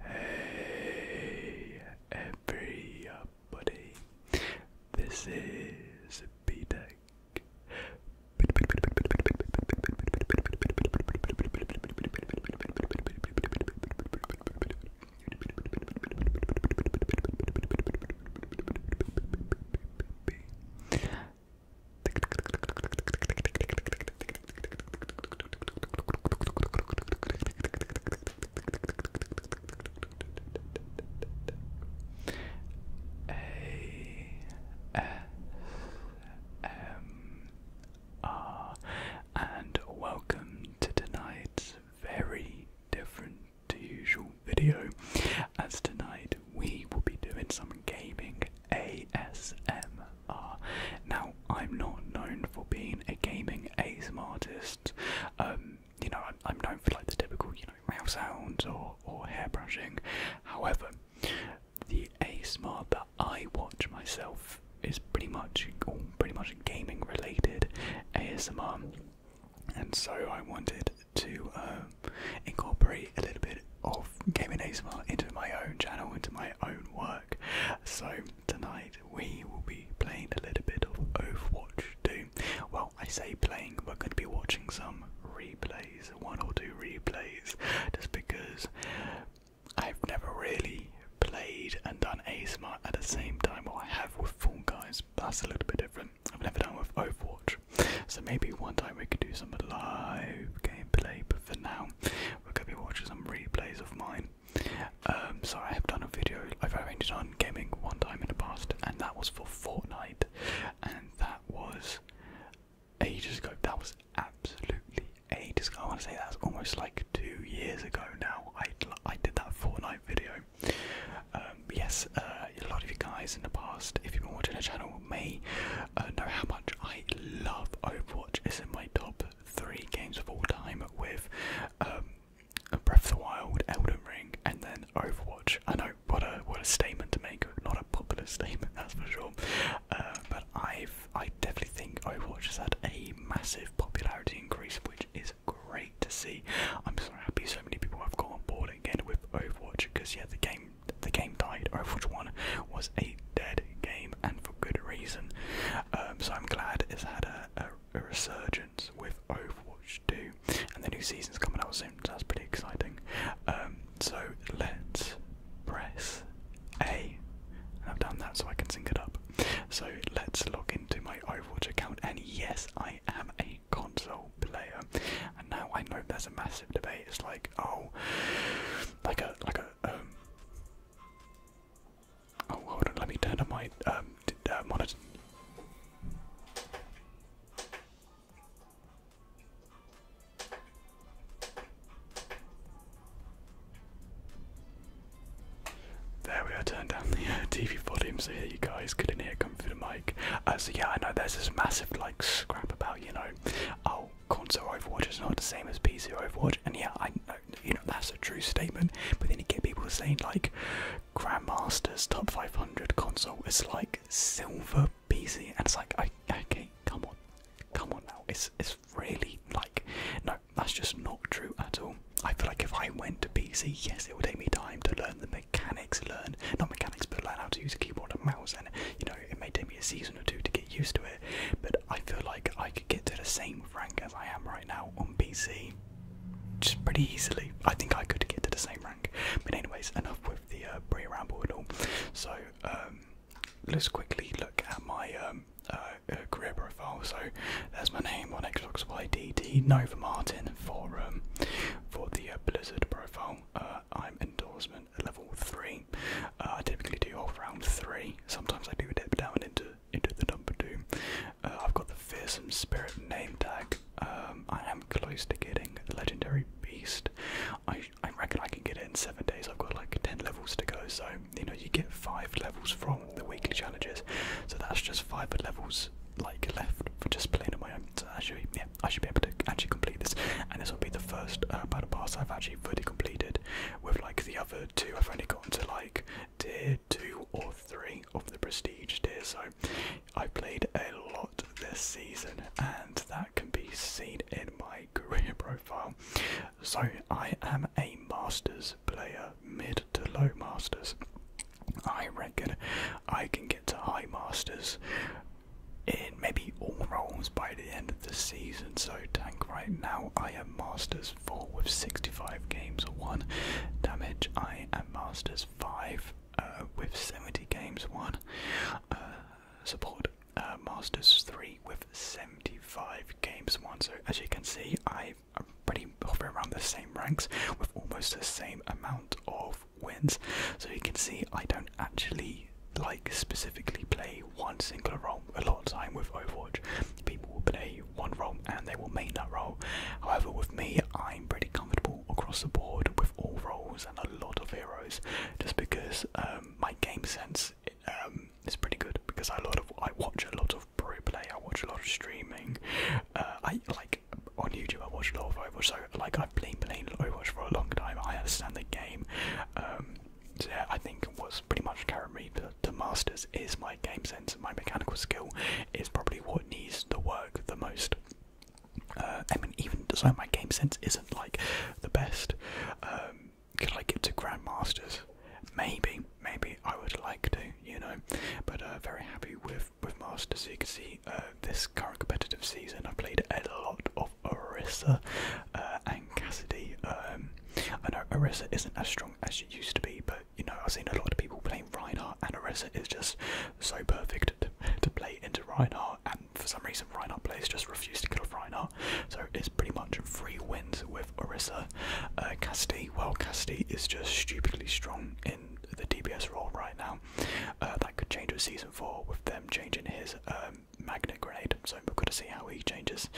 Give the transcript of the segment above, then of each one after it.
Hey everybody, this is B-Tech. A M R and welcome to tonight's very different to usual video, as tonight we will be doing some gaming ASMR. Now, I'm not known for being a gaming ASMR artist. Um, you know, I'm, known for like the typical, you know, mouse sounds or or hair brushing. However, the ASMR that I watch myself is pretty much all pretty much gaming related ASMR and so I wanted to uh, incorporate a little bit of gaming ASMR into my own channel, into my own work. So tonight we will be playing a little bit of Overwatch 2. Well, I say playing, we're going to be watching some replays, one or two replays, just because I've never really played and done ASMR at the same time, or I with Fall Guys, that's a little bit different. I've never done with Overwatch. So maybe one time we could do some live gameplay, but for now, we're going to be watching some replays of mine. Um, so I have done a video, I've arranged done gaming one time in the past, and that was for Fortnite, and that was ages ago. That was absolutely ages ago. I want to say that's almost like two years ago now. I, I did that Fortnite video, um, yes, uh, a lot of you guys in the past, if you've been watching the channel, may uh, know how much I love Overwatch. It's in my top three games of all time with um, Breath of the Wild, Elden Ring, and then Overwatch. I know what a what a statement to make, not a popular statement, that's for sure. Uh, but I've I definitely think Overwatch has had a massive popularity increase, which is great to see. I'm so happy so many people have got on board again with Overwatch because yeah, the game the game died. Overwatch One was a dead game and for good reason. Um, so I'm glad it's had a, resurgence with Overwatch Two, and the new season's coming out soon. So that's pretty exciting. Um, so let's press A. And I've done that so I can sync it up. So let's log into my Overwatch account, and yes, I I am a console player, and now I know there's a massive debate. It's like, oh, like a like a um. Oh, hold on. Let me turn on my um uh, monitor. There we are, turned down the uh, TV volume so here you guys couldn't hear come through the mic. Uh, so yeah, I know there's this massive like scrap about, you know, oh, console Overwatch is not the same as PC Overwatch, and yeah, I know, you know, that's a true statement, but then you get people saying like, Grandmaster's top 500 console is like silver PC, and it's like, I, okay, come on, come on now, it's, it's really like, no, that's just not true at all. I feel like if I went to PC, yes, it would take me time to learn the mechanics, learn not mechanics, but learn how to use a keyboard and mouse, and you know, it may take me a season or two to get used to it. But I feel like I could get to the same rank as I am right now on PC, just pretty easily. I think I could get to the same rank. But anyways, enough with the uh, pre-ramble and all. So um, let's quickly look at my um, uh, uh, career profile. So there's my name on Xbox YDD. Nova Martin forum for the uh, Blizzard profile. Uh, I'm endorsement level three. Uh, I typically do off round three. Sometimes I do dip down into into the number two. I've got the fearsome spirit name tag. Um, I am close to getting legendary beast. I I reckon I can get it in seven days. I've got like ten levels to go, so you know you get five levels from the weekly challenges. So that's just five levels like left just playing on my own. So actually, yeah, I should be able to actually complete this, and this will be the first uh, battle pass I've actually fully completed. With like the other two, I've only gotten to like tier two or three of the prestige tier. So I have played a lot this season, and that can be seen in my career profile. So I am a masters player, mid to low masters. I reckon I can get to High Masters in maybe all roles by the end of the season. So, Tank, right now I am Masters 4 with 65 games won. Damage, I am Masters 5 uh, with 70 games won. Uh, support, uh, Masters 3 with 75 games won. So, as you can see, I'm pretty same, hover around the same ranks with almost the same amount of wins. So you can see I don't actually like specifically play one singular role a lot of time with Overwatch. People will play one role and they will main that role. However, with me, I'm pretty comfortable across the board with all roles and a lot of heroes, just because um, my game sense um, is pretty good. Because I a lot of I watch a lot of pro play, I watch a lot of streaming. Uh, I like on YouTube, I watch a lot of Overwatch, so like I've been playing Overwatch for a long time. I understand the game. Um, so yeah, I think what's pretty much carried me to masters is my game sense. My mechanical skill is probably what needs the work the most. Uh, I mean, even so, my game sense isn't like the best. Um, can I get to grandmasters? Maybe, maybe I would like to, you know. But uh, very happy with with masters. You can see uh, this current competitive season I played a lot of Orisa uh, and Cassidy. Um, I know Orisa isn't as strong as she used to be, but you know I've seen a lot of people playing Reinhardt, and Orisa is just so perfect to, play into Reinhardt. And for some reason, Reinhardt players just refuse to kill off Reinhardt, so it's pretty much free wins with Orisa. Uh, Cassidy, well, Cassidy is just stupidly strong the DPS role right now. Uh, that could change with season four with them changing his um, magnet grade. So we've got to see how he changes.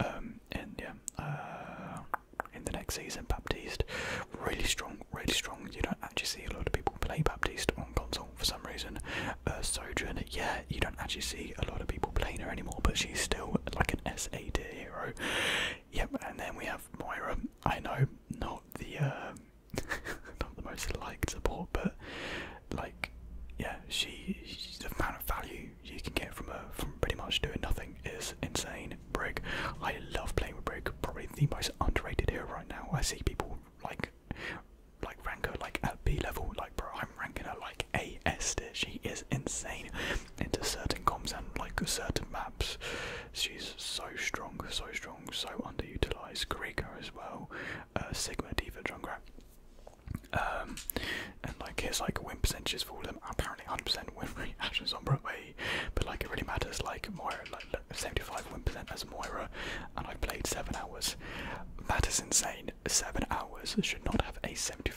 and um, yeah, uh, in the next season, Baptiste really strong, really strong. You don't actually see a lot of people play Baptiste on console for some reason. Uh, Sojourn, yeah, you don't actually see a lot of people playing her anymore, but she's still like an S A D hero. Yep, and then we have Moira. I know not the um, not the most liked support, but like yeah, she she's the amount of value you can get from her from pretty much doing nothing is insane. Brig, I love playing with Brig. Probably the most underrated hero right now. I see people like like rank her like at B level. Like bro, I'm ranking her like A S tier. She is insane into certain comps and like certain maps. She's so strong, so strong so underutilized. Kariko as well, uh, Sigma, Diva, Junkrat. Um, and like here's like win percentage for all of them. Apparently 100% win rate Ash and but like it really matters. Like Moira, like 75 win percent as Moira, and I played seven hours. That is insane. Seven hours should not have a 75%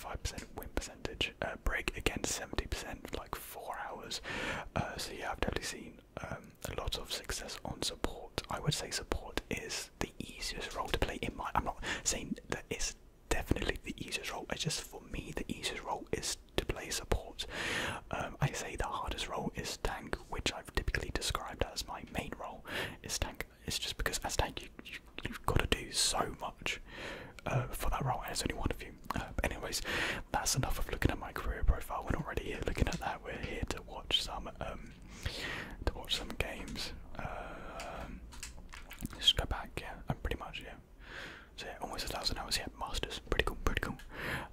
win percentage. Uh, break against 70% like four hours. Uh, so yeah, I've definitely seen um, a lot of success on support. I would say support is the easiest role to play in my. I'm not saying that it's definitely the easiest role. It's just for me the easiest role is to play support. Um, I say the hardest role is tank, which I've typically described as my main role. Is tank. It's just because as tank you, you have got to do so much uh, for that role, and it's only one of you do. Uh, anyways, that's enough of looking at my career profile. We're not really here looking at that. We're here to watch some um, to watch some games. Um, just go back. Yeah, I'm pretty much yeah. So yeah, almost a thousand hours. Yeah, masters. Pretty cool. Pretty cool.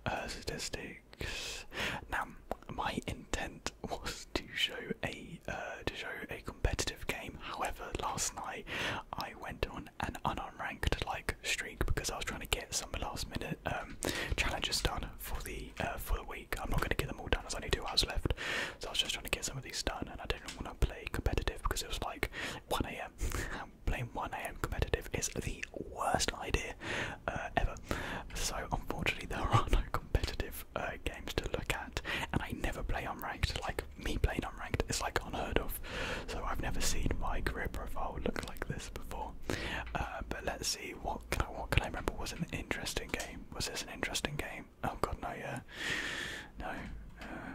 Uh, statistics. Now, my intent was to show a uh, to show a competitive game. However, last night I went on an unranked like streak because I was trying to get some last minute um, challenges done for the uh, for the week. I'm not going to get them all done. There's only two hours left, so I was just trying to get some of these done. And I didn't want to play competitive because it was like 1 a.m. Playing 1 a.m. competitive is the worst idea uh, ever. So unfortunately, there are no competitive uh, games to look at, and I never play unranked. Like me playing unranked is like unheard of. So I've never seen my career profile look like this before. Uh, but let's see what can I what can I remember was an interesting game. Was this an interesting game? Oh god, no, yeah, no. Uh,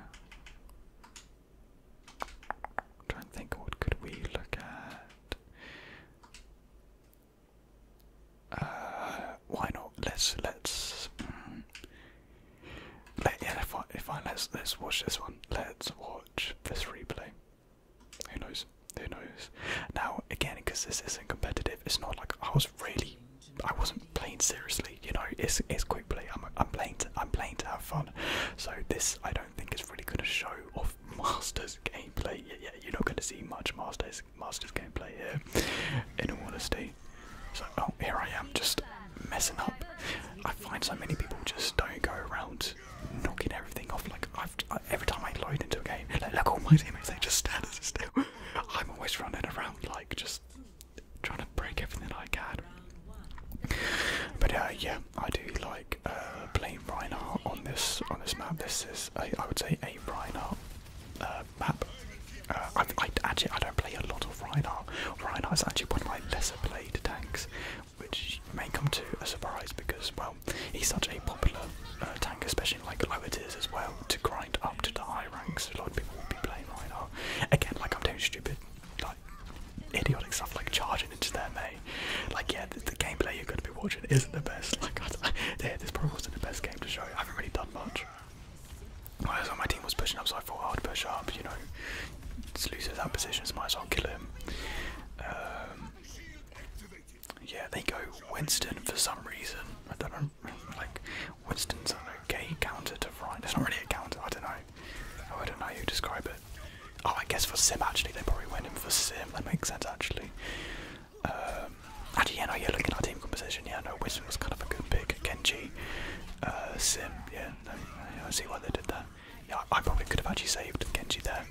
i think, what could we look at? Uh, why not? Let's let's. Mm. let, yeah, if I let's let's watch this one. Let's watch this replay. Who knows? Who knows? Now, again, because this isn't competitive, it's not like I was really, I wasn't playing seriously. You know, it's it's quick play. I'm I'm playing to I'm playing to have fun. So this, I don't think, is really going to show off Masters gameplay. Yeah, yeah, you're not going to see much Masters Masters gameplay here. In all honesty, so oh, here I am just messing up. I find so many people just don't go around knocking everything off. Like every time I load into a game, like look all my teammates, they just stand still. I'm always running around, like just trying to break everything I can. But uh, yeah, I do like uh, playing Reinhardt on this on this map. This is I would say a Reinhardt uh, map. I, actually, I don't play a lot of Reinhardt. is actually one of my lesser played tanks which may come to a surprise because, well, he's such a popular uh, tank, especially in like lower tiers as well, to grind up to the high ranks. A lot of people will be playing Reinhardt. Again, like I'm doing stupid, like idiotic stuff like charging into their mate. Like, yeah, the, gameplay you're going to be watching isn't the best. Like, god, this probably wasn't the best game to show I haven't really done much. Well, so my team was pushing up, so I thought I'd push up, you know, loses that position, so might as well kill him. Um, yeah, they go Winston for some reason. I don't know. Like Winston's an okay counter to Ryan. It's not really a counter. I don't know. Oh, I don't know how you describe it. Oh, I guess for Sim actually, they probably went in for Sim. That makes sense actually. Um, actually, yeah, no, yeah. Looking at team composition, yeah, no, Winston was kind of a good pick. Kenji, uh, Sim, yeah. I see why they did that. Yeah, I probably could have actually saved Genji there.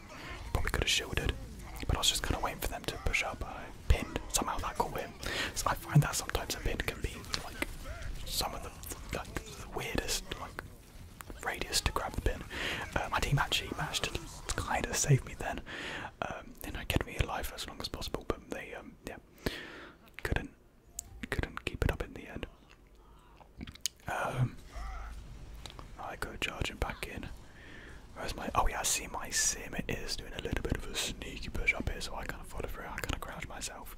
Probably could have shielded, but I was just kind of waiting for them to push up. I pinned. Somehow that could win. I find that sometimes a pin can be like some of the like the weirdest like radius to grab the pin. Uh, my team actually managed to kind of save me then. Um, you know, keep me alive as long as possible, but they um, yeah couldn't couldn't keep it up in the end. Um, I go charging back in. Where's my? Oh yeah, I see my sim. It is doing a little bit of a sneaky push up here, so I kind of follow through. I kind of crouch myself.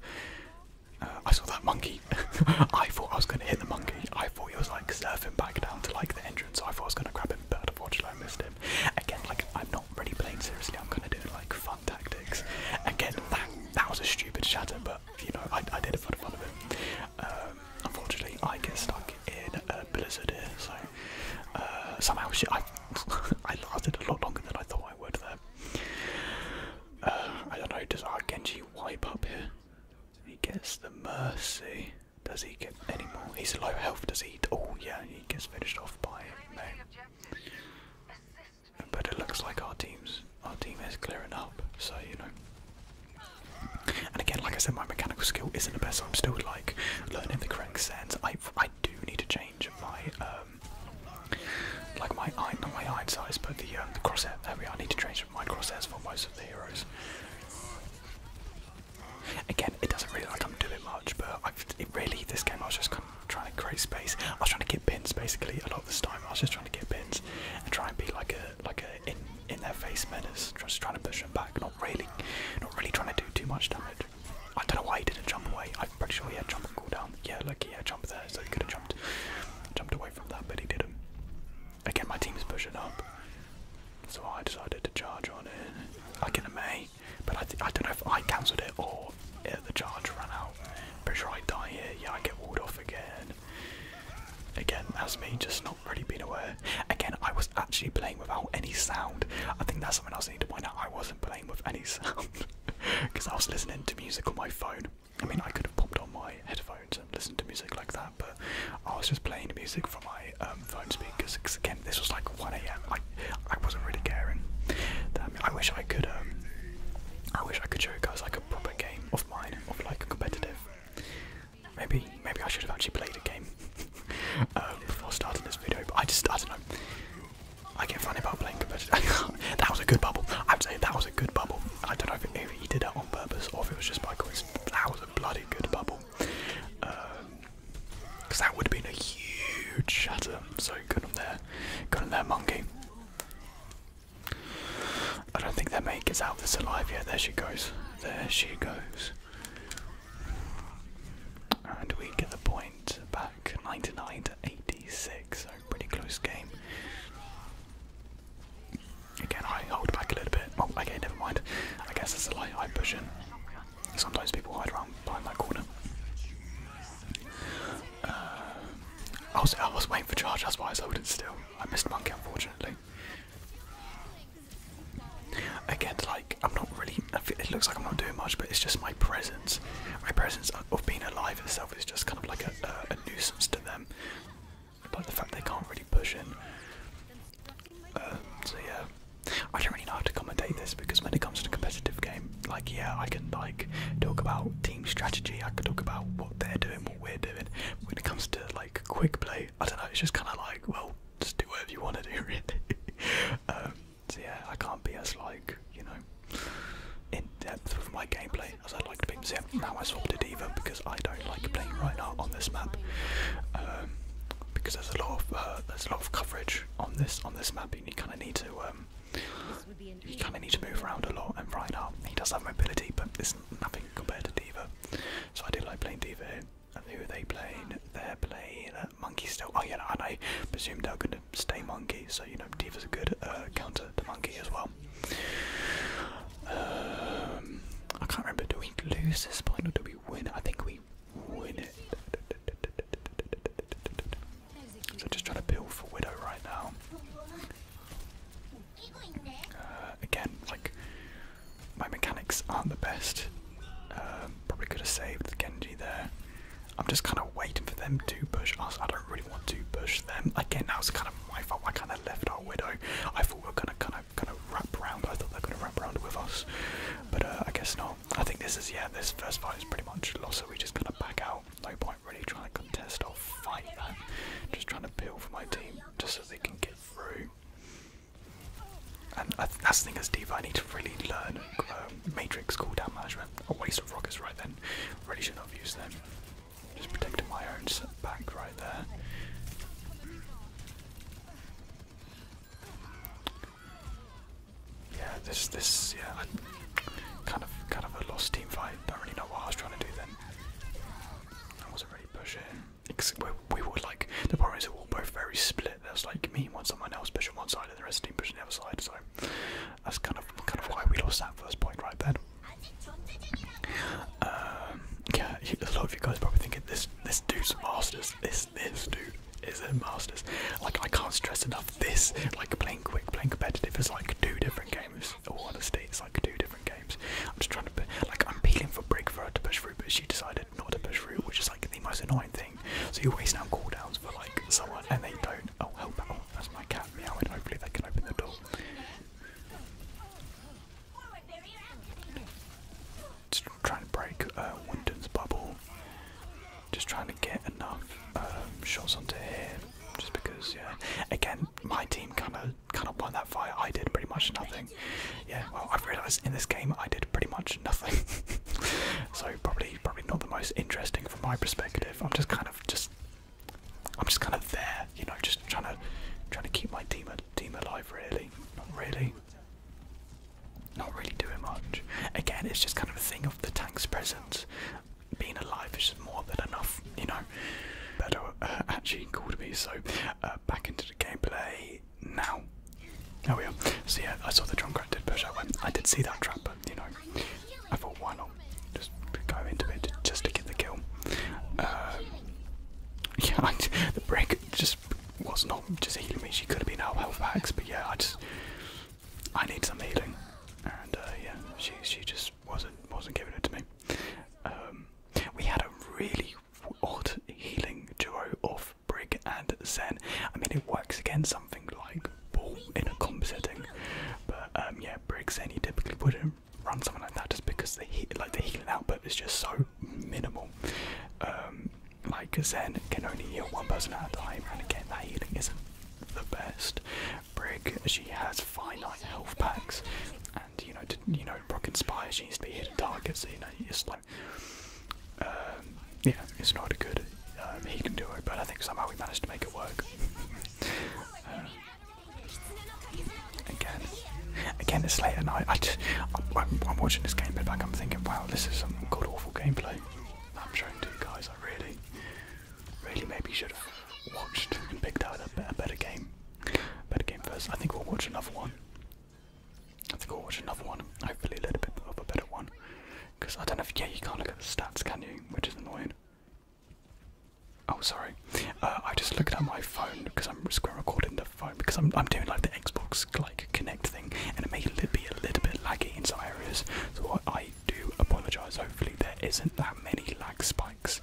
Uh, I saw that monkey. I thought I was going to hit the monkey. I thought he was like surfing back down to like the entrance. So I thought I was going to grab him, but unfortunately I missed him. Again, like I'm not really playing seriously. I'm kind of doing like fun tactics. Again, that that was a stupid shot, but you know, I, I did it for of it. Um, unfortunately, I get stuck in a blizzard here, so uh, somehow I, I lasted a lot longer than I thought I would there. Uh, I don't know, does our Genji wipe up here? He gets the mercy. Does he get any more? He's low health, does he? Oh, yeah, he gets finished off by no. But it looks like our team's our team is clearing up, so you know. And again, like I said, my mechanical skill isn't the best. I'm still like learning the correct sense. I I do need to change my um, like my eye not my eye size, but the um, the crosshair. There we are. I need to change my crosshairs for most of the heroes. Again, it doesn't really like I'm doing much, but I've, it really this game I was just kind of trying to create space. I was trying to get pins basically a lot of this time. I was just trying to get pins and try and be like a like a in in their face menace, just trying to push him back, not really not really trying to do too much damage. I don't know why he didn't jump away. I'm pretty sure he had jump and cooldown. Yeah, lucky he had jump there, so he could have jumped jumped away from that, but he didn't. Again, my team's pushing up, so I decided to charge on it. I get a May, but I, I don't know if I cancelled it or the charge ran out. Pretty sure I die here. Yeah, I get walled off again. Again, that's me just not really being aware. Again, I was actually playing without any sound. I think that's something else I need to point out. I wasn't playing with any sound because I was listening to music on my phone. I mean, I could have popped on my headphones and listened to music like that, but I was just playing music from my um, phone speakers. again, this was like 1 a.m. I, I wasn't really caring. Damn, I wish I could. Um, I wish I could show you guys like a proper game of mine, of like a competitive. Maybe maybe I should have actually played a game uh, before starting this video, but I just I don't know. I get funny about playing competitive. that was a good bubble. I'd say that was a good bubble. I don't know if, it, if he did that on purpose or if it was just by coincidence. That was a bloody good bubble. Because um, that would have been a huge shatter. So good on there. Good on there, monkey. I don't think that mate gets out of this alive yet. There she goes. There she goes. And we get the point back 99 to 86, so pretty close game. Again, I hold back a little bit. Oh, okay, never mind. I guess that's a light I push in. Sometimes people hide around behind that corner. Uh, I, was, I was waiting for charge, that's why I was it still. I missed monkey, unfortunately. Again, like I'm not really. It looks like I'm not doing much, but it's just my presence. My presence of being alive itself is just kind of like a, nuisance to them. Like the fact they can't really push in. Um, so yeah, I don't really know how to commentate this because when it comes to a competitive game, like yeah, I can like talk about team strategy. I can talk about what they're doing, what we're doing. When it comes to like quick play. I don't know. It's just kind of like, well, just do whatever you want to do, it. Um, so yeah, I can't be as like you know in depth with my gameplay as I'd like to be. So yeah, now I swapped it either because I don't like playing right now on this map. Um, because there's a lot of uh, there's a lot of coverage on this on this map, you kind of need to um, you kind of need to move around a lot. And right now he does have mobility, but it's nothing compared to Diva. So I do like playing Diva and who they played? They're playing uh, Monkey still. Oh yeah, and I presume they're going to stay Monkey, so you know Diva's a good uh, counter to Monkey as well. Um, I can't remember. Do we lose this point or do we win? I think we win it. So just trying to build for Widow right now again, like my mechanics aren't the best. Um, probably could have saved the Genji there. I'm just kind of waiting for them to push us. I don't really want to push them. Again, that was kind of my fault. I kind of left our widow. I thought we were gonna kind of kind of wrap around. I thought they were gonna wrap around with us, but uh, I guess not. I think this is yeah. This first fight is pretty much lost. So we just kind of back out. No point really trying to contest or fight that. Just trying to build for my team just so they can get through. And I th that's the thing as diva, I need to really learn uh, Matrix cooldown management. A waste of rockets right then. Really should not have used them. Just protecting my own back right there. Yeah, this this yeah, kind of kind of a lost team fight. Don't really know what I was trying to do then. I wasn't really pushing we were like the problem is we were both very split. There's like me and one someone else pushing one side, and the rest of the team pushing the other side. So that's kind of kind of why we lost that first point right then. Um, yeah, a lot of you guys probably thinking this this dude's masters. This this dude is a masters. Like I can't stress enough. This like playing quick, playing competitive is like two different games. All honesty, it's like two different games. I'm just trying to like I'm peeling for break for her to push through, but she decided not to push through, which is like the most annoying thing. So you're wasting out cooldowns for like someone and they don't. Oh, help! Oh, that's my cat And Hopefully they can open the door. Just trying to break uh, bubble. Just trying to get enough um, shots onto him. just because. Yeah. Again, my team kind of kind of won that fight. I did pretty much nothing. Yeah, well, I've realised in this game I did pretty much nothing. so probably, probably not the most interesting from my perspective. I'm just kind of just, I'm just kind of there, you know, just trying to, trying to keep my team, team alive. Really, not really, not really doing much. Again, it's just kind of a thing of the tank's presence. Being alive is more than enough, you know. Beto uh, actually called me, so uh, back into the gameplay now. There we are. So yeah, I saw the drunkard did push out I did see that trap, but you know, I thought why not just go into it just to get the kill. Uh, yeah, the break just was not just healing me. She could have been out health packs, but yeah, I just I need some healing, and uh, yeah, she she just wasn't wasn't giving it to me. Um, we had a really odd healing duo of Brig and Zen. I mean, it works against something like Ball in a comp setting, but um, yeah, Brig Zen you typically wouldn't run something like that just because the heat, like the healing output is just so minimal. Um, like Zen can only heal one person at a time, and again, that healing isn't the best. Brig, she has finite health packs, and you know, to, you know, Rock Inspire, she needs to be hitting targets. you know, it's like um, yeah, it's not a good um, He can do it, but I think somehow we managed to make it work. Um, again, again, it's late at night. I am watching this game back. I'm thinking, wow, this is some god awful gameplay. I'm showing to you guys. I really, really maybe should have watched and picked out a better game. Better game first. I think we'll watch another one. Let's go watch another one. Hopefully, a little bit of a better one. Because I don't know if yeah, you can't look at the stats, can you? Which is annoying. Oh, sorry. Uh, I just looked at my phone because I'm screen recording the phone because I'm I'm doing like the Xbox like Connect thing, and it may be a little bit laggy in some areas. So I do apologise. Hopefully, there isn't that many lag spikes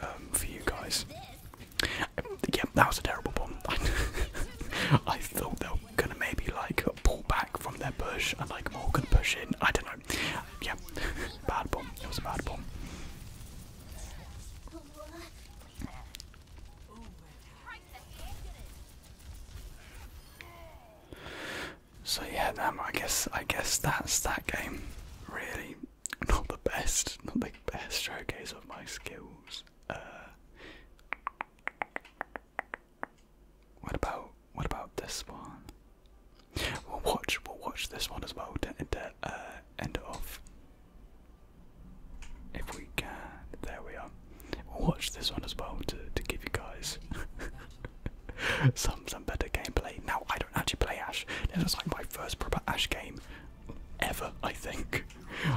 um, for you guys. Yeah, that was a terrible bomb. I thought they were gonna maybe like pull back from their push and like more gonna push in. I don't know. Yeah, bad bomb. It was a bad bomb. So yeah, damn. Um, I guess I guess that's that game. Really, not the best, not the best showcase of my skills. Uh, what about what about this one? We'll watch we'll watch this one as well to, to uh, end it off. If we can, there we are. We'll watch this one as well to to give you guys some some better gameplay. Now I don't actually play Ash. This was like my first proper Ash game ever, I think.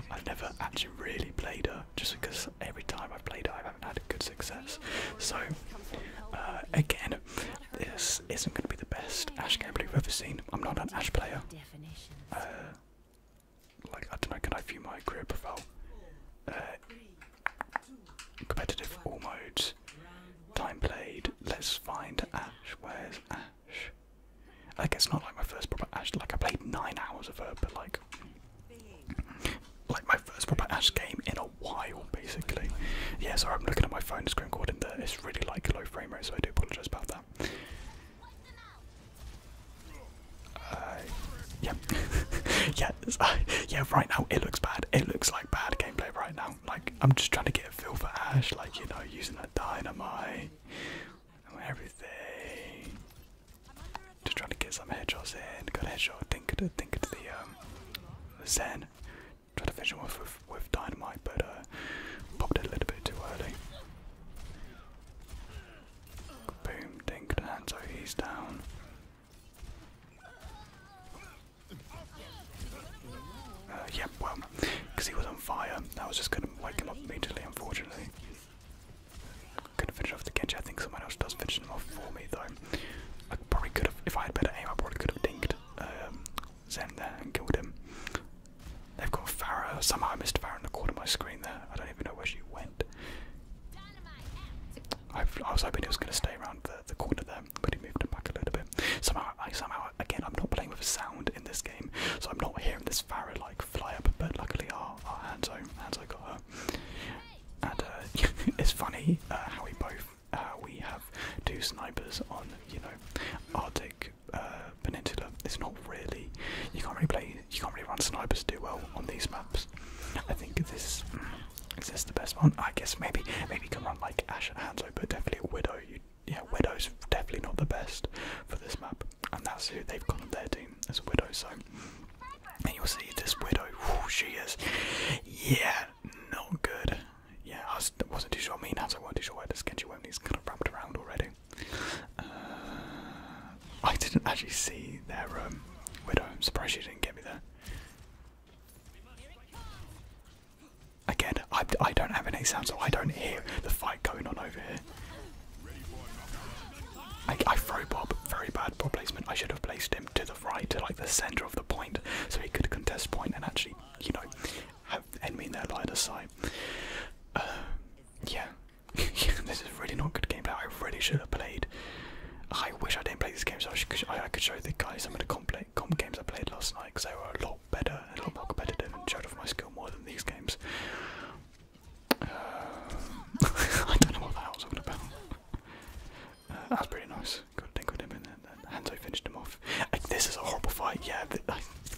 I've never actually really played her, just because every time I've played her, I haven't had a good success. So, uh, again, this isn't going to be the best Ash gameplay i have ever seen. I'm not an Ash player. Uh, like, I don't know, can I view my career profile? Uh, competitive all modes. Time played. Let's find Ash. Where's Ash? Like it's not like my first proper Ash. Like I played nine hours of her, but like, like my first proper Ash game in a while, basically. Yeah, sorry, I'm looking at my phone screen recording there. It's really like low frame rate, so I do apologise about that. Uh, yeah, yeah, uh, yeah. Right now, it looks bad. It looks like bad gameplay right now. Like I'm just trying to get a feel for Ash, like you know, using a dynamite, I want everything. Just trying to get some headshots in. Got a headshot. Think to think to um, the Zen. Try to finish him off with, with dynamite, but uh, popped it a little bit too early. Boom, dink, and so he's down. Uh, yeah, well, because he was on fire, that was just going to wake him up immediately, unfortunately. Could have finished off the Genji. I think someone else does finish him off for me though. I probably could have, if I had better aim, I probably could have dinked um, Zen there and killed him. They've got Farah. Somehow I missed Farah in the corner of my screen there. I don't even know where she went. i I was hoping he was going to stay around the, corner there, but he moved him back a little bit. Somehow, I, somehow, again, I'm not playing with sound in this game, so I'm not hearing this Farah like fly up, but luckily our, our Hanzo, Hanzo got her. And uh, it's funny uh, how we both, uh, we have two snipers on, you know, Arctic Peninsula. It's not really, you can't really play, you can't really run snipers do well on these maps. I think this, mm, is this the best one? I guess maybe, maybe you can run like Ash and Hanzo, but definitely Widow, you yeah, Widow's definitely not the best for this map, and that's who they've gone on their team as a widow, so and you'll see this widow, whew, she is, yeah, not good. Yeah, I was, not too sure. I mean, as I wasn't too sure where the sketchy went, is. kind of wrapped around already. Uh, I didn't actually see their um, widow. I'm surprised she didn't get me there. Again, I, I don't have any sound, so I don't hear the fight going on over here. I, throw Bob, very bad placement. I should have placed him to the right, to like the centre of the point, so he could contest point and actually, you know, have enemy in their line of sight. Uh, yeah, this is really not good gameplay. I really should have played. I wish I didn't play this game so I, should, I could show the guys some of the comp, games I played last night because they were a lot better a lot more competitive and showed off my skill more than these games. Uh, I don't know what that was all about. Uh, that was pretty nice. Got a tinkled him in there. Hanzo finished him off. Uh, this is a horrible fight. Yeah,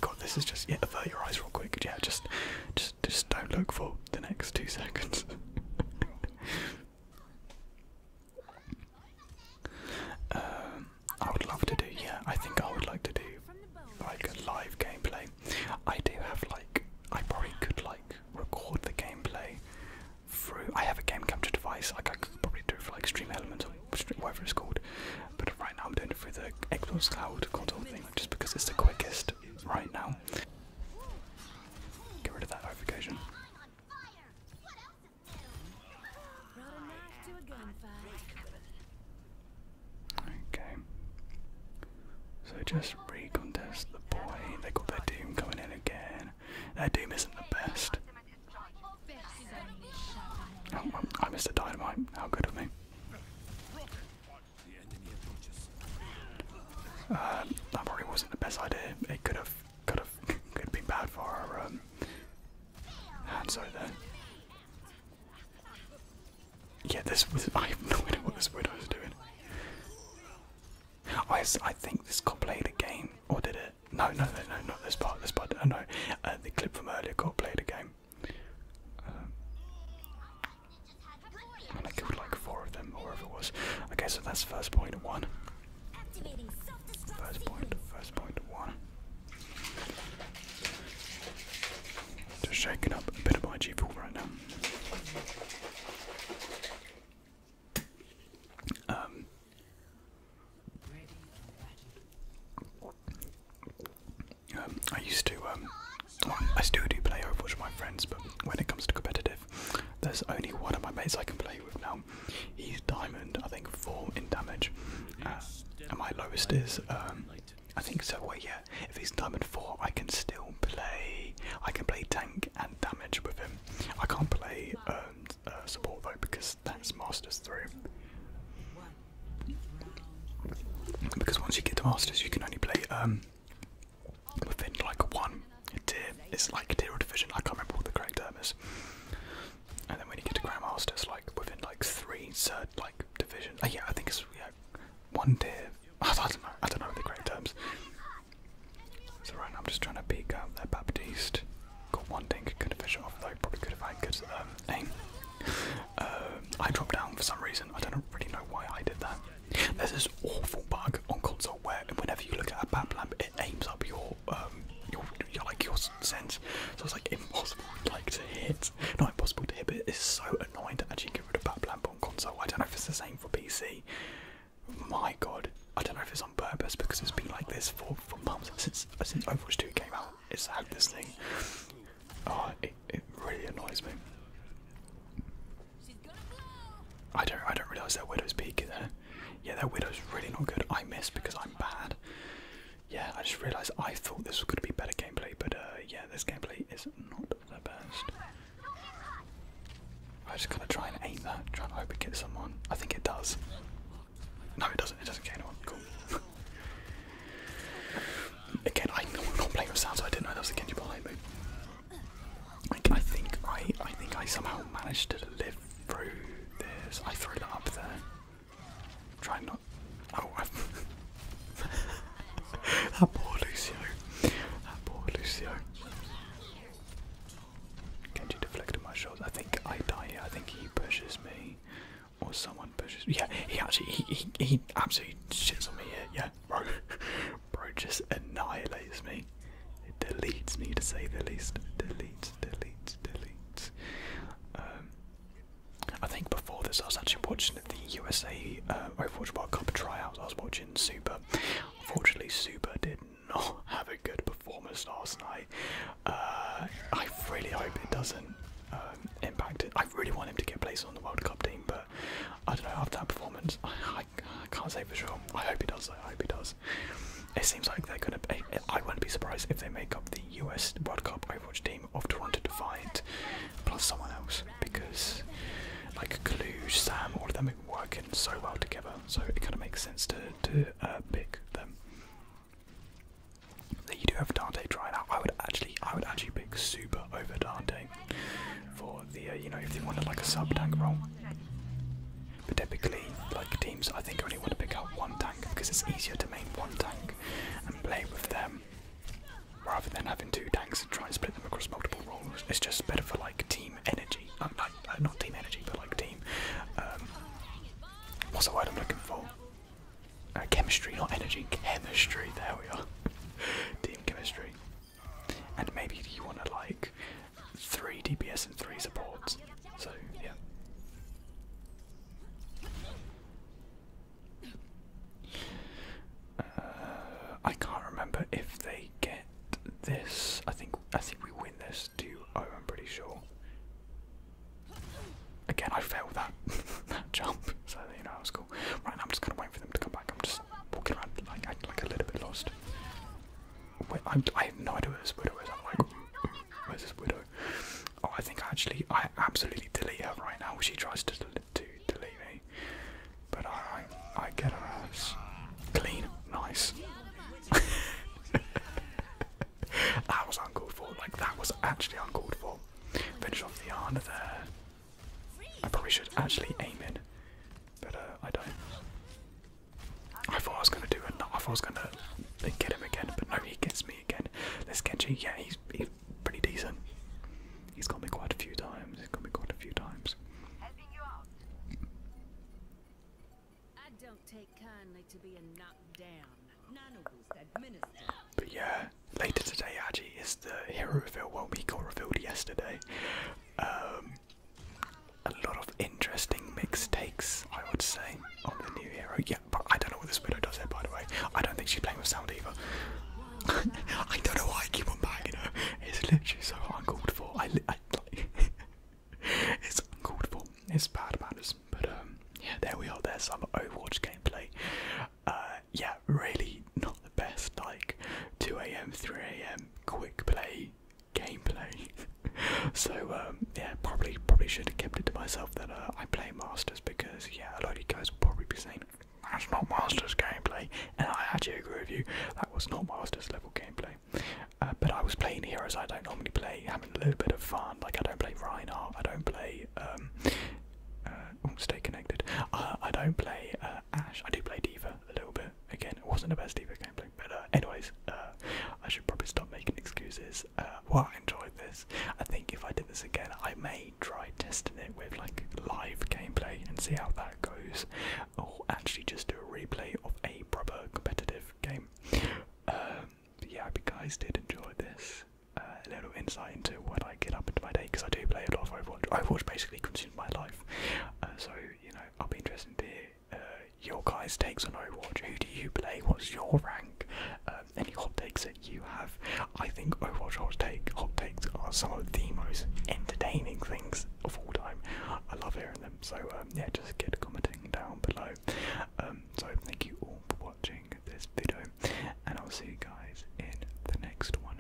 God, this is just. Yeah, avert your eyes real quick. Yeah, just, just, just don't look for the next two seconds. um, I would love to do. Yeah, I think I would like to do like a live gameplay I do have like I probably could like record the gameplay through. I have a game capture device. Like I could probably do it for like Stream Elements or whatever it's called. But right now I'm doing it through the Xbox Cloud console thing, just because it's the quickest right now. Get rid of that notification. Okay. So just recontest the point. They got their doom coming in again. Their doom isn't the best. Oh, I missed a dynamite. How good of me. Um, that probably wasn't the best idea. It could have, could have, could have been bad for our um, hands over yeah, this was. I have no idea what this widow is doing. I, I think this got played a game, or did it? No, no, no, no, not this part. This part, no, uh, no. Uh, the clip from earlier got played a game. Um, and I killed like four of them, or whatever it was. Okay, so that's first point one. First point, first point one. Just shaking up a bit of my G 4 right now. Um, um I used to, um, I still do play Overwatch with my friends, but when it comes to competitive, there's only one of my mates I can play with now. He's diamond, I think, four in damage, uh, and my lowest is, um, I think so. Well, yeah, if he's diamond four, I can still play. I can play tank and damage with him. I can't play um, uh, support though because that's masters three. Because once you get to masters, you can only play um, within like one tier. It's like tier or division. I can't remember what the correct term is. And then when you get to grandmasters, like within like three third like division. Oh, yeah, I think it's yeah one day, I don't know. I don't know the correct terms. So right now I'm just trying to peek out their Baptiste. Got one thing could have fish off though. Probably could have had good um, aim. Um, I dropped down for some reason. I don't really know why I did that. There's this awful bug on console where whenever you look at a bat lamp, it aims up your um, your, like your sense. So it's like impossible to hit. Not impossible to hit, but it's so annoying to actually get rid of bat lamp on console. I don't know if it's the same for PC. My god, I don't know if it's on purpose because it's been like this for for months since since Overwatch 2 came out. It's had this thing. Oh, it it really annoys me. I don't I don't realise their Widow's Peak Yeah, their Widow's really not good. I miss because I'm bad. Yeah, I just realised I thought this was going to be better gameplay, but uh, yeah, this gameplay is not I burst. I just gotta try and aim that, try and hope it gets someone. I think it does. No, it doesn't. It doesn't get anyone. Cool. Again, I am not playing with sound, so I didn't know that was a Genji ball me. Like, I think I, I think I somehow managed to live through this. I threw it up there. Try not. Oh, I've that poor Lucio. That poor Lucio. Can you deflect my shots? I think I die I think he pushes me. Or someone pushes me. Yeah, he actually, he, he, he absolutely shits on me here. Yeah, bro. Bro just annihilates me. It deletes me to say the least. Deletes, deletes, deletes. Um, I think before this I was actually watching the USA uh, Overwatch World Cup tryouts. I was watching Super. Unfortunately, Super did not have a good performance last night. Uh, I really hope it doesn't um, impact it. I really want him to get placed on the World Cup team, but I don't know, after that performance, I, I can't say for sure. I hope he does, I hope he does. It seems like they're going to. I wouldn't be surprised if they make up the US World Cup Overwatch team of Toronto Defiant plus someone else because like Kaluj, Sam, all of them are working so well together, so it kind of makes sense to to uh, pick them. You do have Dante trying out. I would actually, I would actually pick Super over Dante for the uh, you know if they wanted like a sub tank role. But typically, like teams, I think only want to pick out one tank because it's easier to main one tank and play with them rather than having two tanks and try and split them across multiple roles. It's just better for like team energy. Um, like, uh, not team energy, but like team. Um, what's the word I'm looking for? Uh, chemistry, not energy. Chemistry. There we are. team chemistry. And maybe you want to like three DPS and three supports. So yeah. I can't remember if they get this. I think I think we win this 2-0. I'm pretty sure. Again, I failed that that jump, so you know I was cool. Right now, I'm just gonna wait for them to come back. I'm just walking around like acting like a little bit lost. Wait, I'm, I have no idea where this widow is. I'm like, where's this widow? Oh, I think actually I absolutely delete her right now. She tries to to delete me, but I I, I get a clean, nice. that was uncalled for. Like that was actually uncalled for. Finish off the Ana there. I probably should actually aim it, but uh, I don't. I thought I was gonna do it. I thought I was gonna get him again, but no, he gets me again. This you. yeah, he's, he's pretty decent. He's got me quite a few times. He's got me quite a few times. I don't take kindly to being knocked down. But yeah, later today actually is the hero reveal one we got revealed yesterday. Um, a lot of interesting mixed takes, I would say, on the new hero. Yeah, but I don't know what this widow does there. by the way. I don't think she's playing with sound either. I don't know why I keep on bagging her. It's literally so uncalled for. it's uncalled for. It's bad manners. But um, yeah, there we are. There's some Overwatch gameplay. Uh, yeah, really not the best. Like 2 a.m., 3 a.m. quick play gameplay. so um, yeah, probably probably should have kept it to myself that uh, I play Masters because yeah, a lot of you guys will probably be saying that's not Masters gameplay, and I actually agree with you, that was not Masters level gameplay. Uh, but I was playing heroes I don't normally play, having a little bit of fun. Like I don't play Reinhardt, I don't play. Um, uh, oh, stay connected. I don't play uh, Ash. I do play Diva a little bit. Again, it wasn't the best Diva gameplay, but anyways, I should probably stop making excuses. well, I enjoyed this. I think if I did this again, I may try testing it with like live gameplay and see how that goes or oh, actually just do a replay of a proper competitive game. Um, yeah, I you guys did enjoy this. Uh, a little insight into what I get up into my day because I do play a lot of Overwatch. Overwatch basically consumes my life, uh, so you know I'll be interested to hear uh, your guys' takes on Overwatch. Who do you play? What's your rank? Um, any hot takes that you have? I think Overwatch hot take hot takes are some of the most entertaining things of all time. I love hearing them. So um, yeah, just keep commenting down below. Um, so thank you all for watching this video, and I'll see you guys in the next one.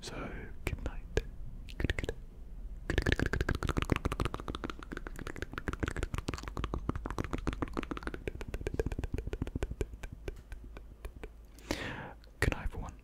So good night. Good, good. Good, good, good, good, good, good night, everyone.